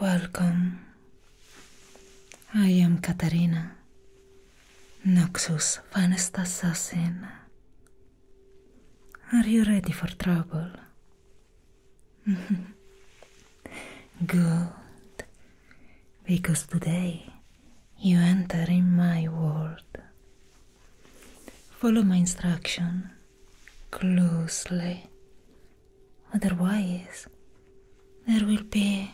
Welcome. I am Katarina, Noxus' finest assassin. Are you ready for trouble? Good. Because today you enter in my world. Follow my instruction closely, otherwise, there will be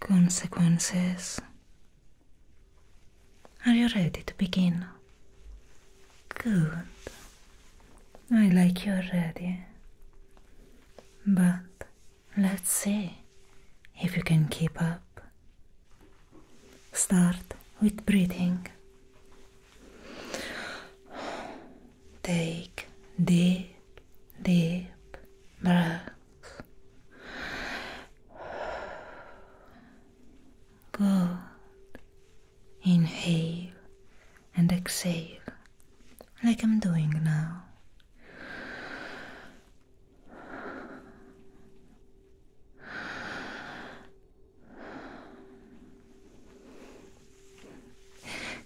consequences. Are you ready to begin? Good. I like you already. But let's see if you can keep up. Start with breathing. Take deep, deep breaths. Good. Inhale and exhale, like I'm doing now.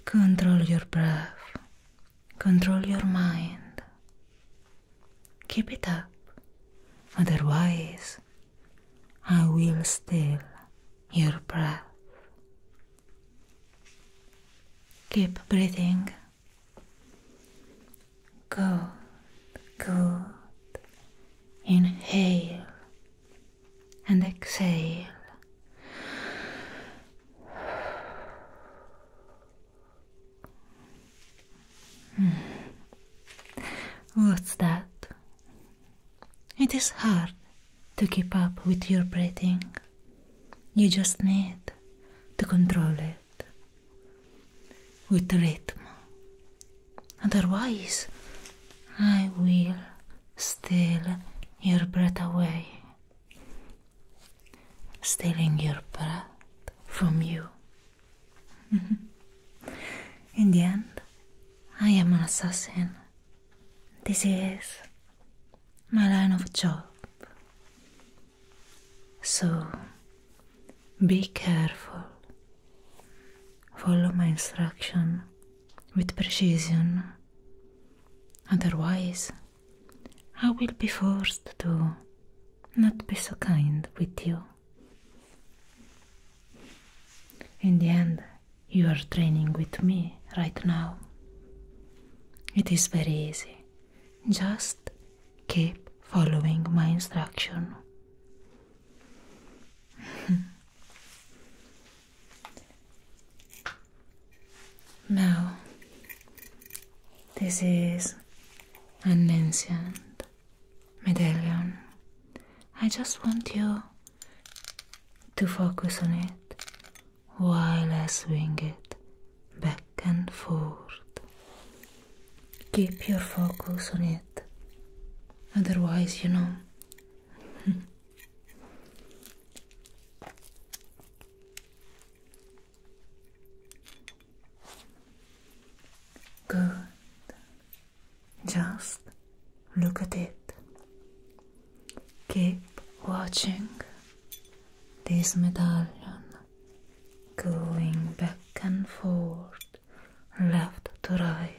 Control your breath, control your mind. Keep it up, otherwise, I will steal your breath. Keep breathing. Good, good, Inhale and exhale. Hmm. What's that? It is hard to keep up with your breathing. You just need to control it with rhythm Otherwise, I will steal your breath away, stealing your breath from you. In the end, I am an assassin. This is my line of job. So Be careful. Follow my instruction with precision. Otherwise, I will be forced to not be so kind with you. In the end, you are training with me right now. It is very easy. Just keep following my instruction. now, this is an ancient medallion. I just want you to focus on it while I swing it back and forth keep your focus on it, otherwise, you know. Good. Just look at it. Keep watching this medallion going back and forth, left to right,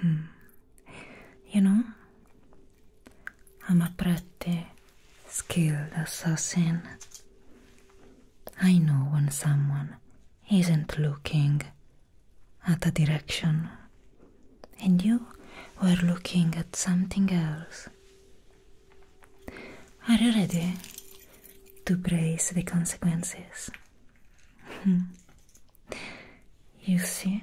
Hmm. You know, I'm a pretty skilled assassin. I know when someone isn't looking at a direction, and you were looking at something else. Are you ready to brace the consequences? you see,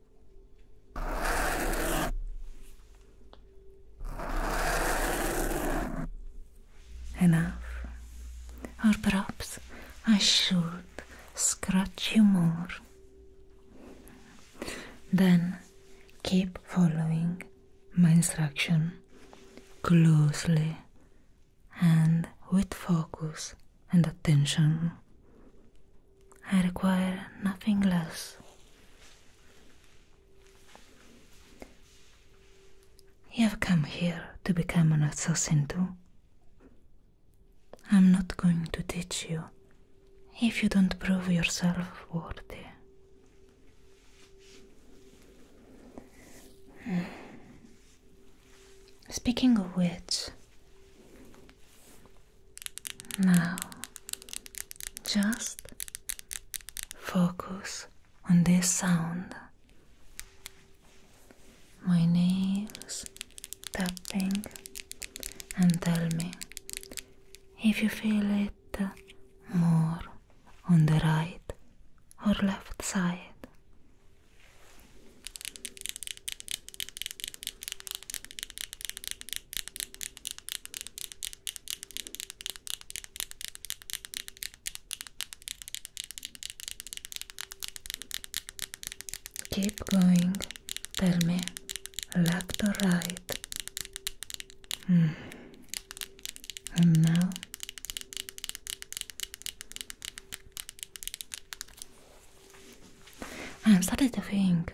Enough. Or perhaps I should scratch you more. Then keep following my instruction closely and with focus and attention. I require nothing less. You have come here to become an assassin too. I'm not going to teach you if you don't prove yourself worthy. Hmm. Speaking of which, Now, just focus on this sound. My nails tapping and tell me if you feel it more on the right or left side. Keep going, tell me, left or right? Hmm. And I'm starting to think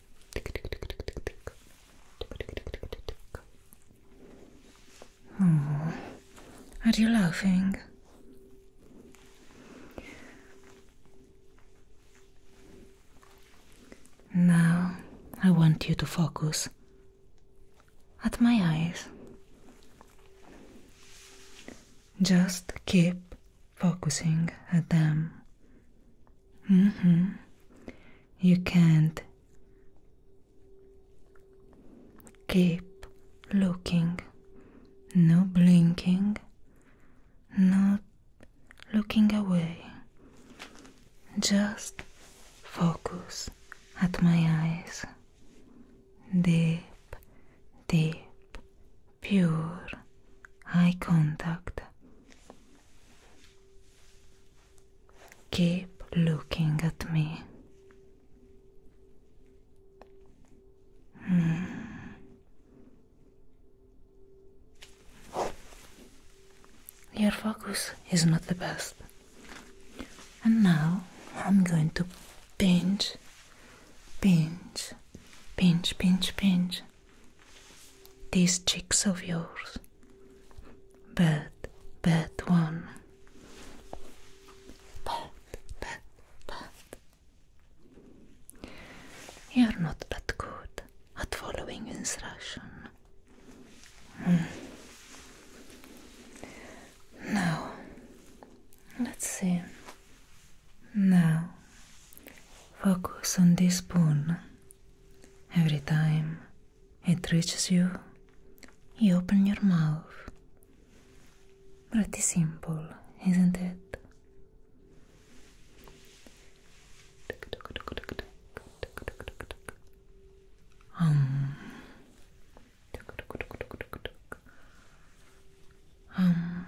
Oh, are you laughing? Now I want you to focus at my eyes. Just keep focusing at them. Mm-hmm. You can't keep looking, no blinking, not looking away. Just focus at my eyes. Deep, deep pure eye contact. Keep looking at me. Hmm. Your focus is not the best. And now I'm going to pinch, pinch, pinch, pinch, pinch these chicks of yours. Bad, bad one. Bad, bad, bad. You're not that good at following instruction. Hmm. Now, let's see. Now, focus on this spoon. Every time it reaches you, you open your mouth. Pretty simple, isn't it? Um. Um.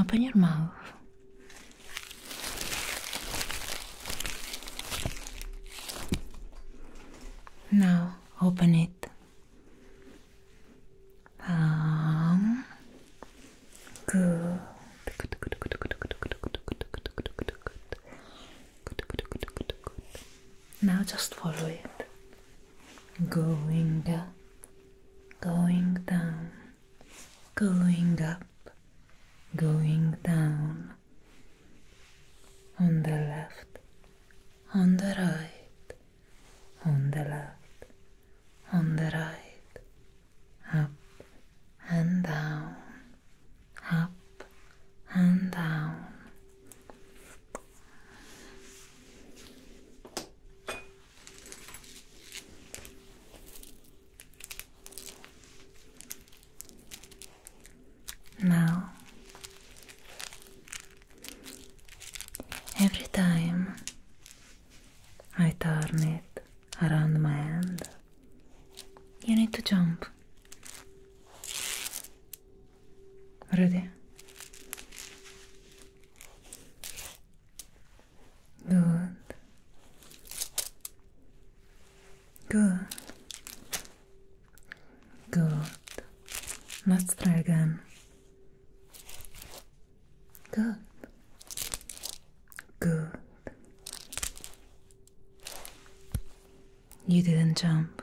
Open your mouth. Now open it. Um, good, now just follow it. Going up, going down, going up, going down. On the left, on the right, on the left, on the right, up and down, up and down. Now, every time I turn it around my hand, you need to jump. Vad är det? Good. Good. Good. Let's try again. Good. Good. You didn't jump.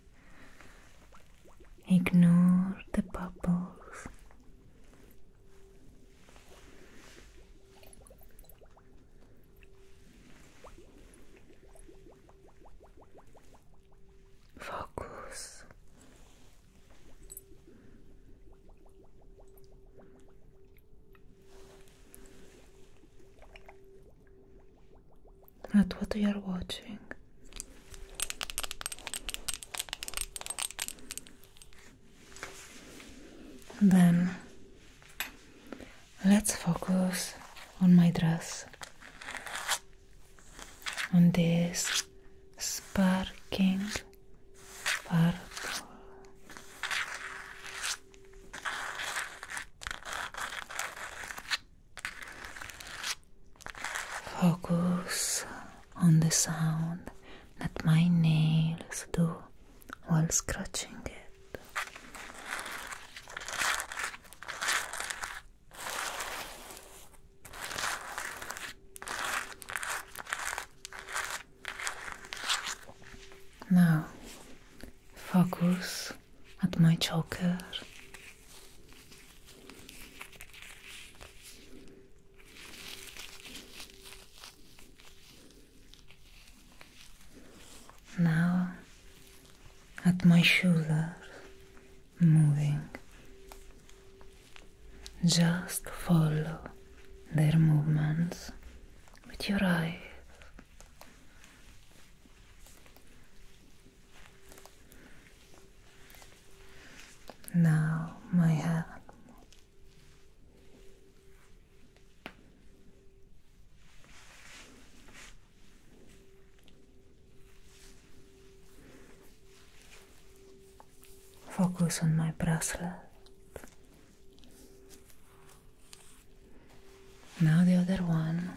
Ignore the bubbles. Focus at what you are watching. Then let's focus on my dress, on this sparkling purple. Focus on the sound that my nails do while scratching it. Now, focus at my choker now at my shoulders, moving. Just follow their movements with your eyes. Now, my hand. Focus on my bracelet. Now the other one.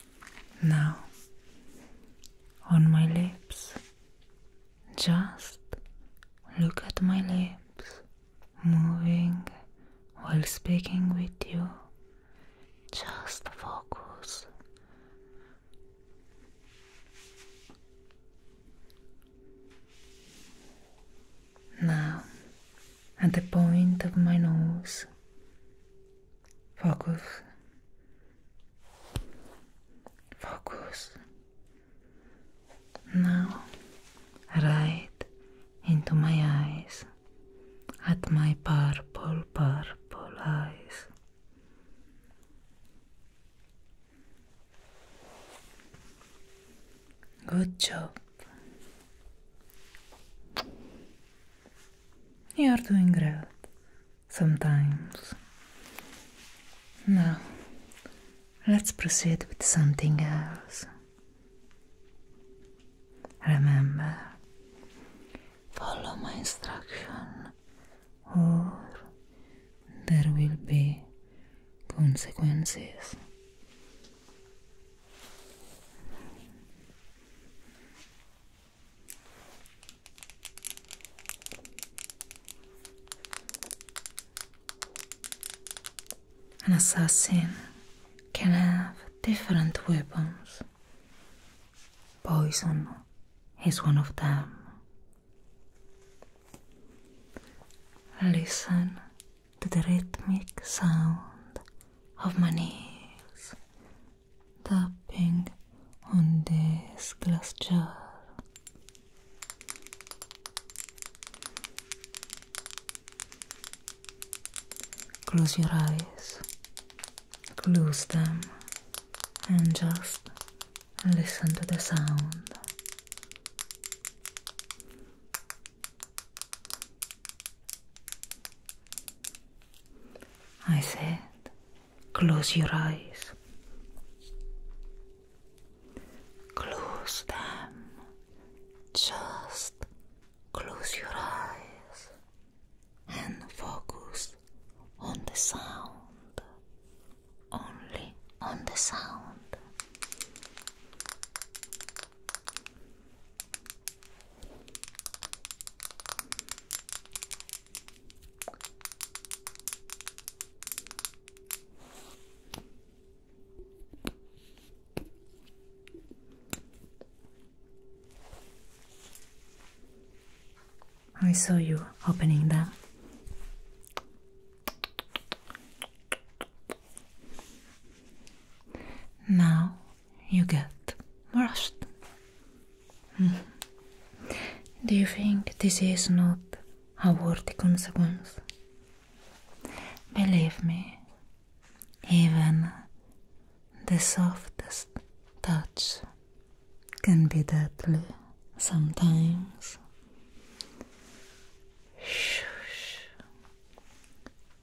Now, on my lips, just look at my lips moving while speaking with you. Just focus. Now, at the point of my nose, Focus. Focus. Now, right into my eyes, at my purple, purple eyes. Good job. You're doing great sometimes. Now, let's proceed with something else. Remember, follow my instruction, or there will be consequences. An assassin can have different weapons. Poison is one of them. Listen to the rhythmic sound of my nails tapping on this glass jar. Close your eyes, close them, and just listen to the sound. I said, Close your eyes. Close them. Just close your eyes and focus on the sound. Only on the sound. I saw you opening them. Now you get rust. Mm-hmm. Do you think this is not a worthy consequence? Believe me, even the softest touch can be deadly sometimes. Shush.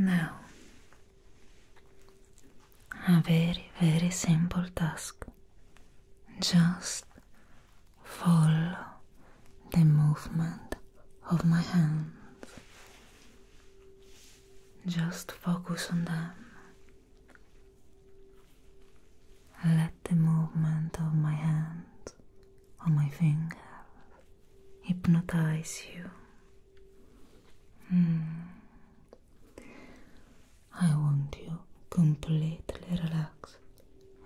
Now, a very, very simple task. Just follow the movement of my hands just focus on them. Let the movement of my hand or my finger hypnotize you. Hmm. I want you completely relaxed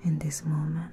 in this moment.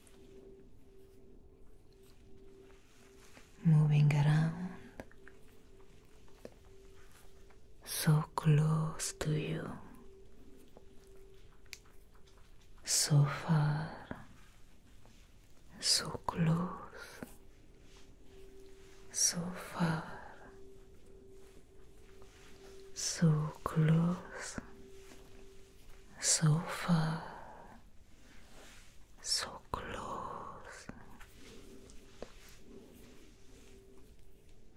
moving around so close to you, so far, so close, so far, so close, so far, so close.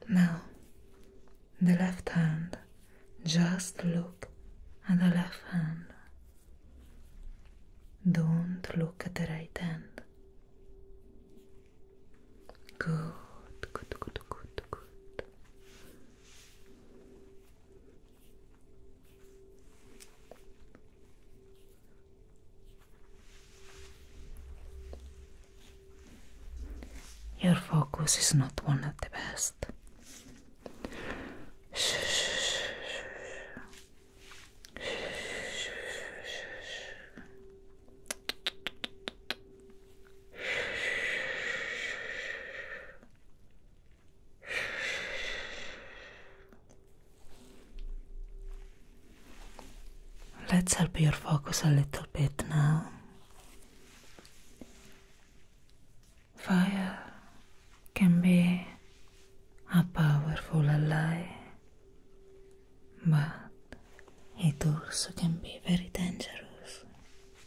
Now, the left hand, just look at the left hand. Don't look at the right hand. Good, good, good, good, good. Your focus is not one of the best. Let's help your focus a little bit now. Fire can be a powerful ally, but it also can be very dangerous.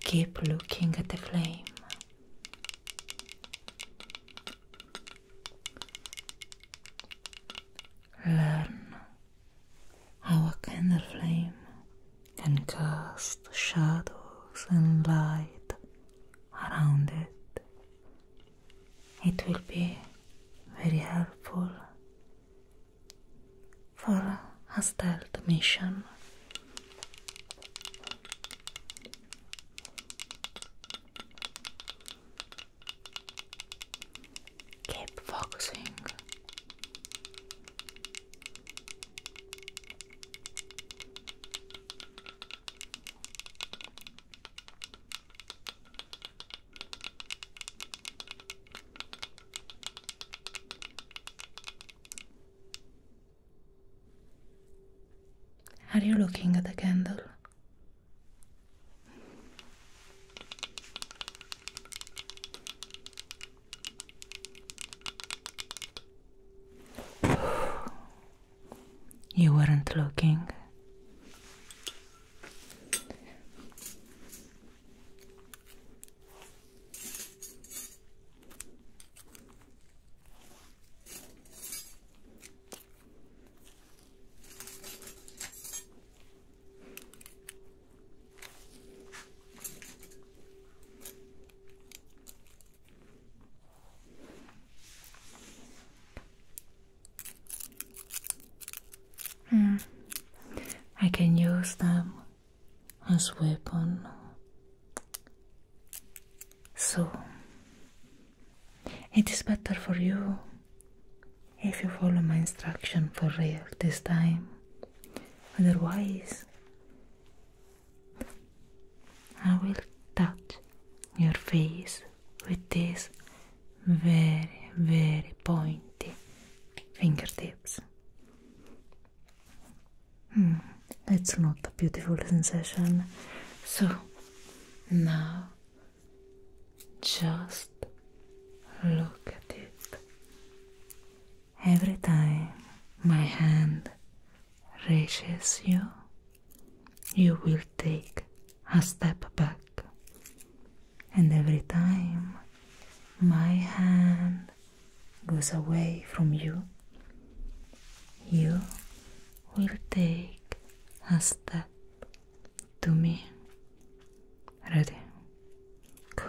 Keep looking at the flame. Learn how a candle flame can cast shadows and light around it. It will be very helpful for a stealth mission. Keep focusing. Are you looking at the candle? You weren't looking. Hmm. I can use them as weapon so it is better for you if you follow my instruction for real this time otherwise I will touch your face with these very very pointy fingertips Hmm, that's not a beautiful sensation. So now just look at it. Every time my hand reaches you, you will take a step back and every time my hand goes away from you, you will take a step to me. Ready? Good.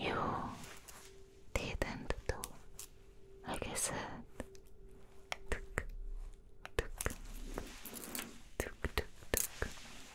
You didn't do I said. Tuk, tuk, tuk, tuk, tuk.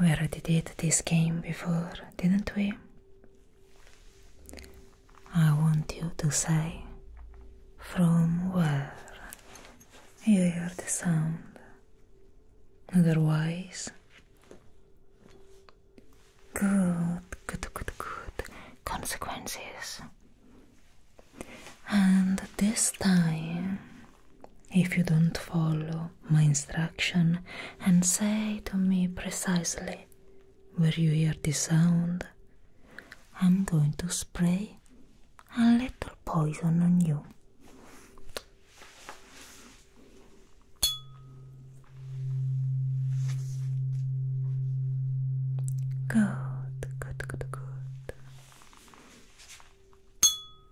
We already did this game before, didn't we? I want you to say from where you hear the sound. Otherwise, good, good, good, good consequences. And this time if you don't follow my instruction and say to me precisely where you hear the sound, I'm going to spray a little poison on you. Good, good, good, good.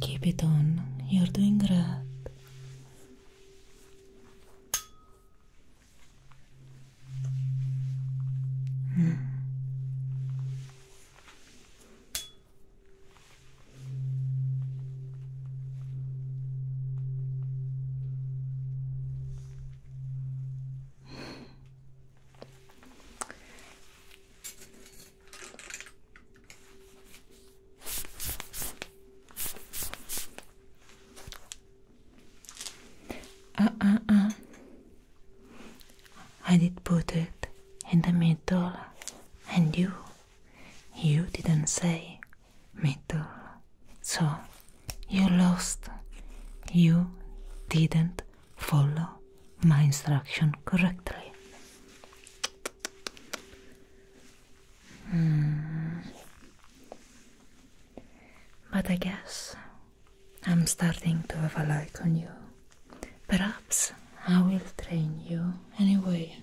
Keep it on, you're doing great. Uh uh uh. I did put it in the middle, and you, you didn't say middle, so you lost. You didn't follow my instruction correctly. Hmm. But I guess I'm starting to have a like on you. Perhaps I will train you anyway.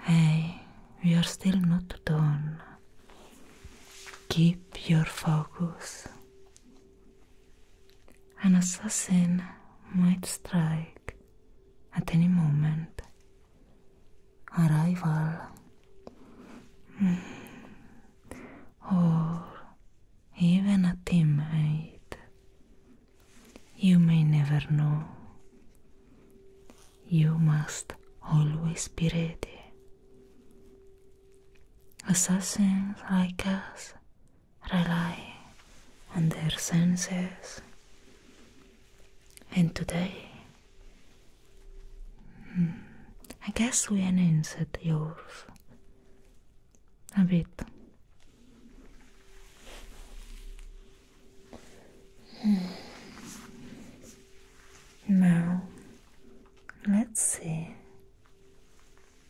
Hey, we are still not done. Keep your focus. An assassin might strike at any moment. A rival. Mm, or even a teammate. You may never know. You must always be ready. Assassins like us rely on their senses, and today hmm, I guess we enhanced yours a bit. Hmm. Now, let's see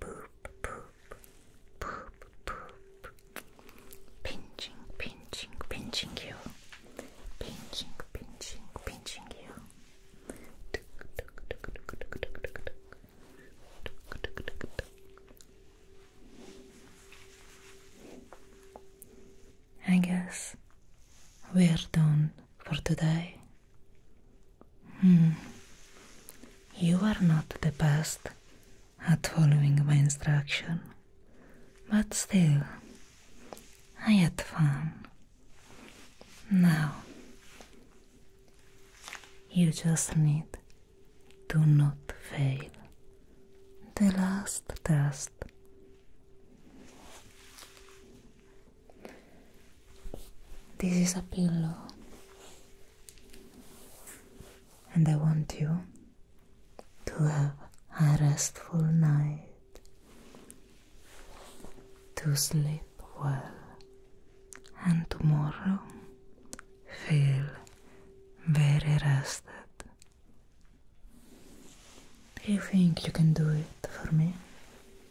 poop, poop, poop, poop. Pinching, pinching, pinching you. Pinching, pinching, pinching you. I guess we're done for today? Hmm. You are not the best at following my instruction, but still, I had fun. Now, you just need to not fail the last test. This is a pillow, and I want you to have a restful night, to sleep well, and tomorrow feel very rested. Do you think you can do it for me?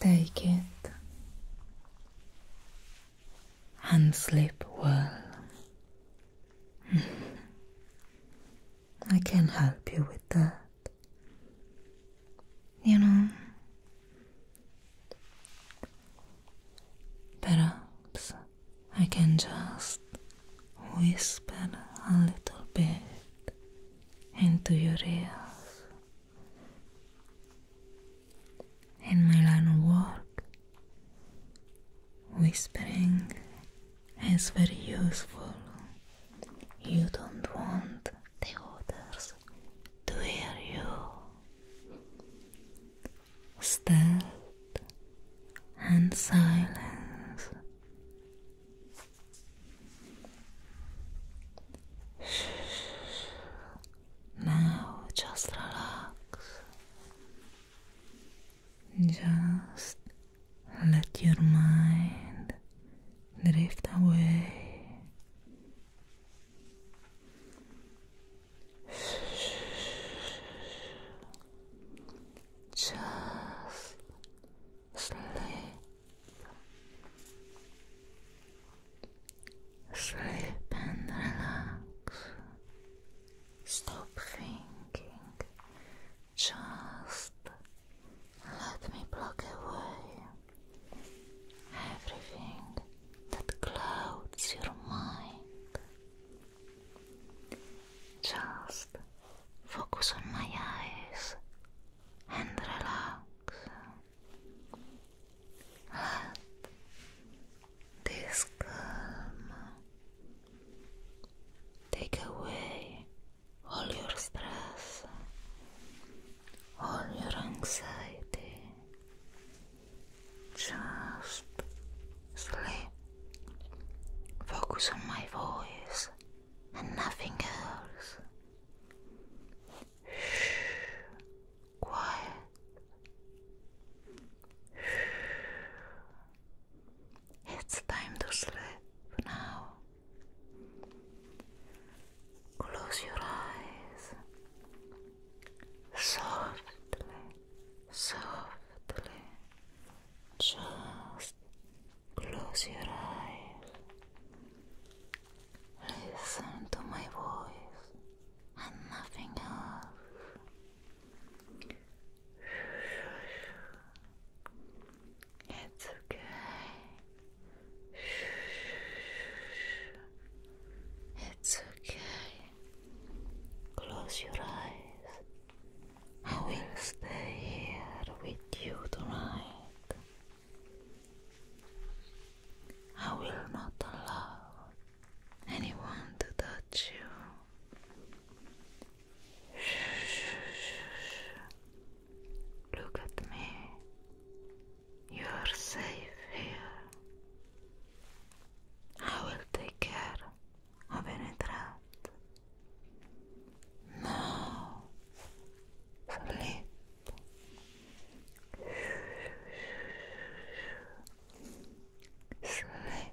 Take it and sleep well. I can help you with that. You know, perhaps I can just whisper a little bit into your ears. In my line of work, whispering it's very useful. You don't want the others to hear you. Stealth and silence. Now just relax. Just let your mind drift away. Just sleep. Sleep and relax. Stop thinking. Just let me block away everything that clouds your mind. Just focus on my eyes and relax. Let this calm take away all your stress, all your anxiety. Just sleep. Focus on my voice and nothing else. Shh. Quiet. Shh. It's time to sleep now. Close your eyes softly, softly. Just close your eyes. Listen to my voice and nothing else. It's okay. It's okay. Close your eyes. I will stay here with you tonight. I will not allow anyone to touch you. Look at me. You are safe here. I will take care of any trap. Now, sleep. Sleep.